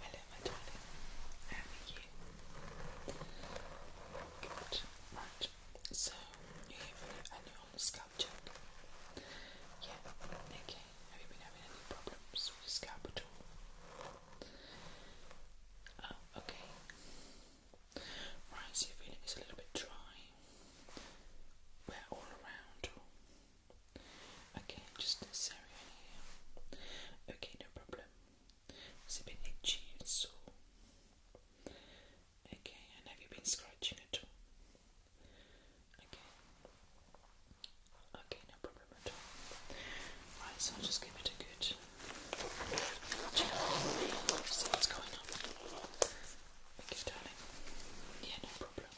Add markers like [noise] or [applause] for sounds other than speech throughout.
Hello, my darling. How are you? Good. Right. So you're here for scalp check. Yeah. Okay. Have you been having any problems with scalp at all? okay. Right, so your feeling is a little bit dry. We're all around. Okay, just this area Okay, no problem. It's a bit itchy and sore. Okay, and have you been scratching at all? Okay. Okay, no problem at all. Right, so I'll just give it a good check. See what's going on. Okay, darling. Yeah, no problem.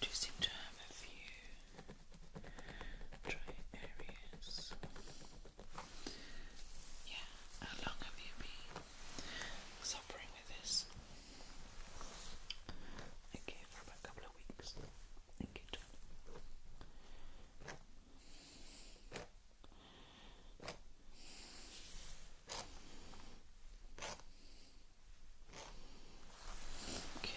You seem to have a few dry areas. Yeah, how long have you been suffering with this? Okay, for a couple of weeks. Okay, Okay.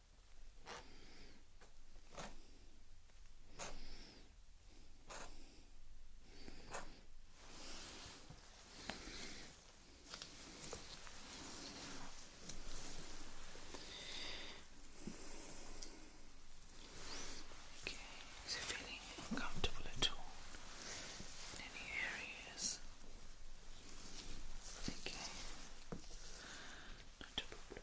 Okay, is it feeling uncomfortable at all any areas? Okay, not a problem.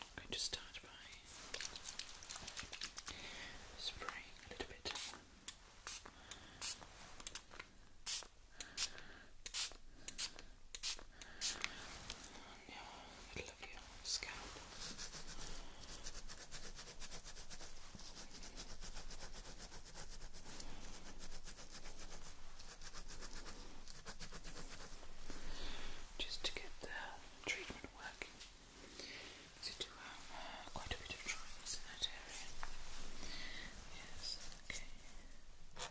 I'm going to start by spraying a little bit. Yeah, I Just to get the treatment working, so do have uh, quite a bit of dryness in that area. Yes, okay.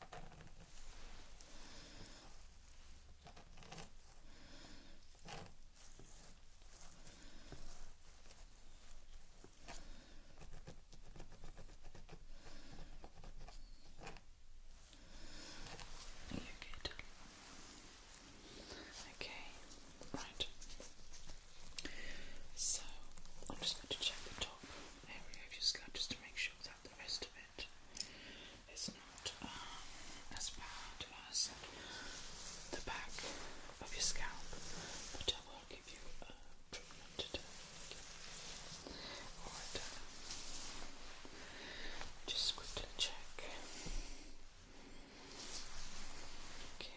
you Okay, right. So I'm just going to check the top area of your skirt just to make sure that the rest of it is not um, as bad as the back of your scalp, but I will give you a treatment today. Um, just quickly check. Okay.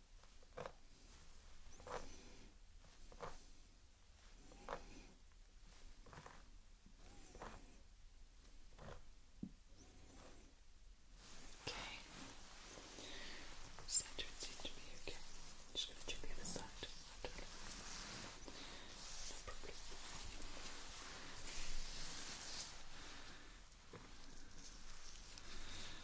Okay. Center seems to be okay. just gonna check the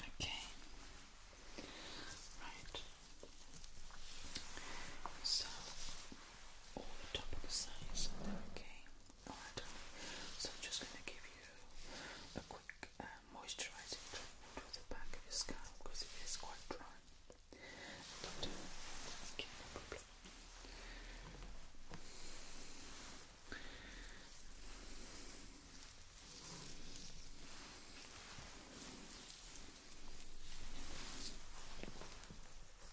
Okay, right. So all the top of the sides, okay. Alright, so I'm just going to give you a quick um, moisturising treatment the back of your scalp because it is quite dry. Doctor, okay, no problem. Okay.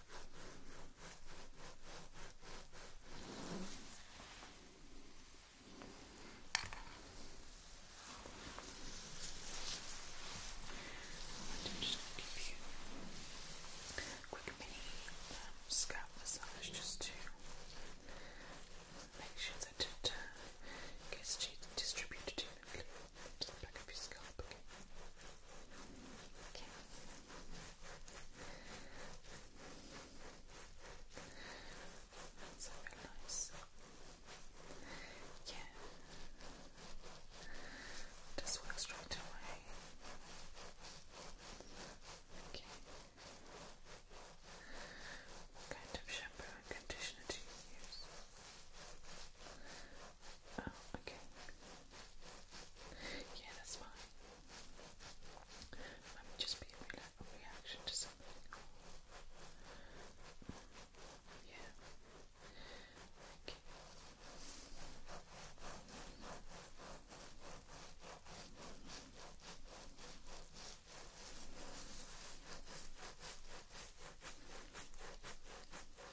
I'm just going to give you a quick mini um, scalp massage just to make sure that it uh, gets distributed evenly to the back of your scalp. Okay. That's very nice. Yeah. Just work straight away. Okay. What kind of shampoo and conditioner do you use? Oh, okay. Yeah, that's fine. just be a, re reaction to something. Yeah. Okay.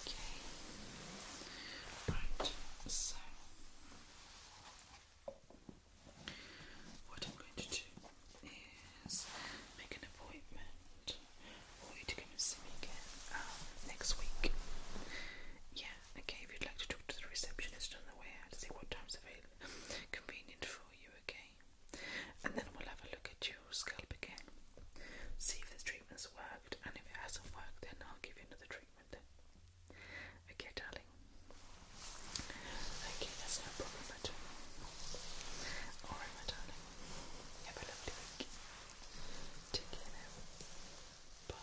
Okay. Right, so what I'm going to do is make an appointment for you to come and see me again um, next week. Yeah, Okay, if you'd like to talk to the receptionist on the way out, see what time's available, [laughs] convenient for you, okay? And then we'll have a look at your scalp again, see if the treatment's worked, and if it hasn't worked, then I'll give you another treatment. Okay, darling. Okay, that's no problem at all. Alright, my darling. Have a lovely week. Take care Bye.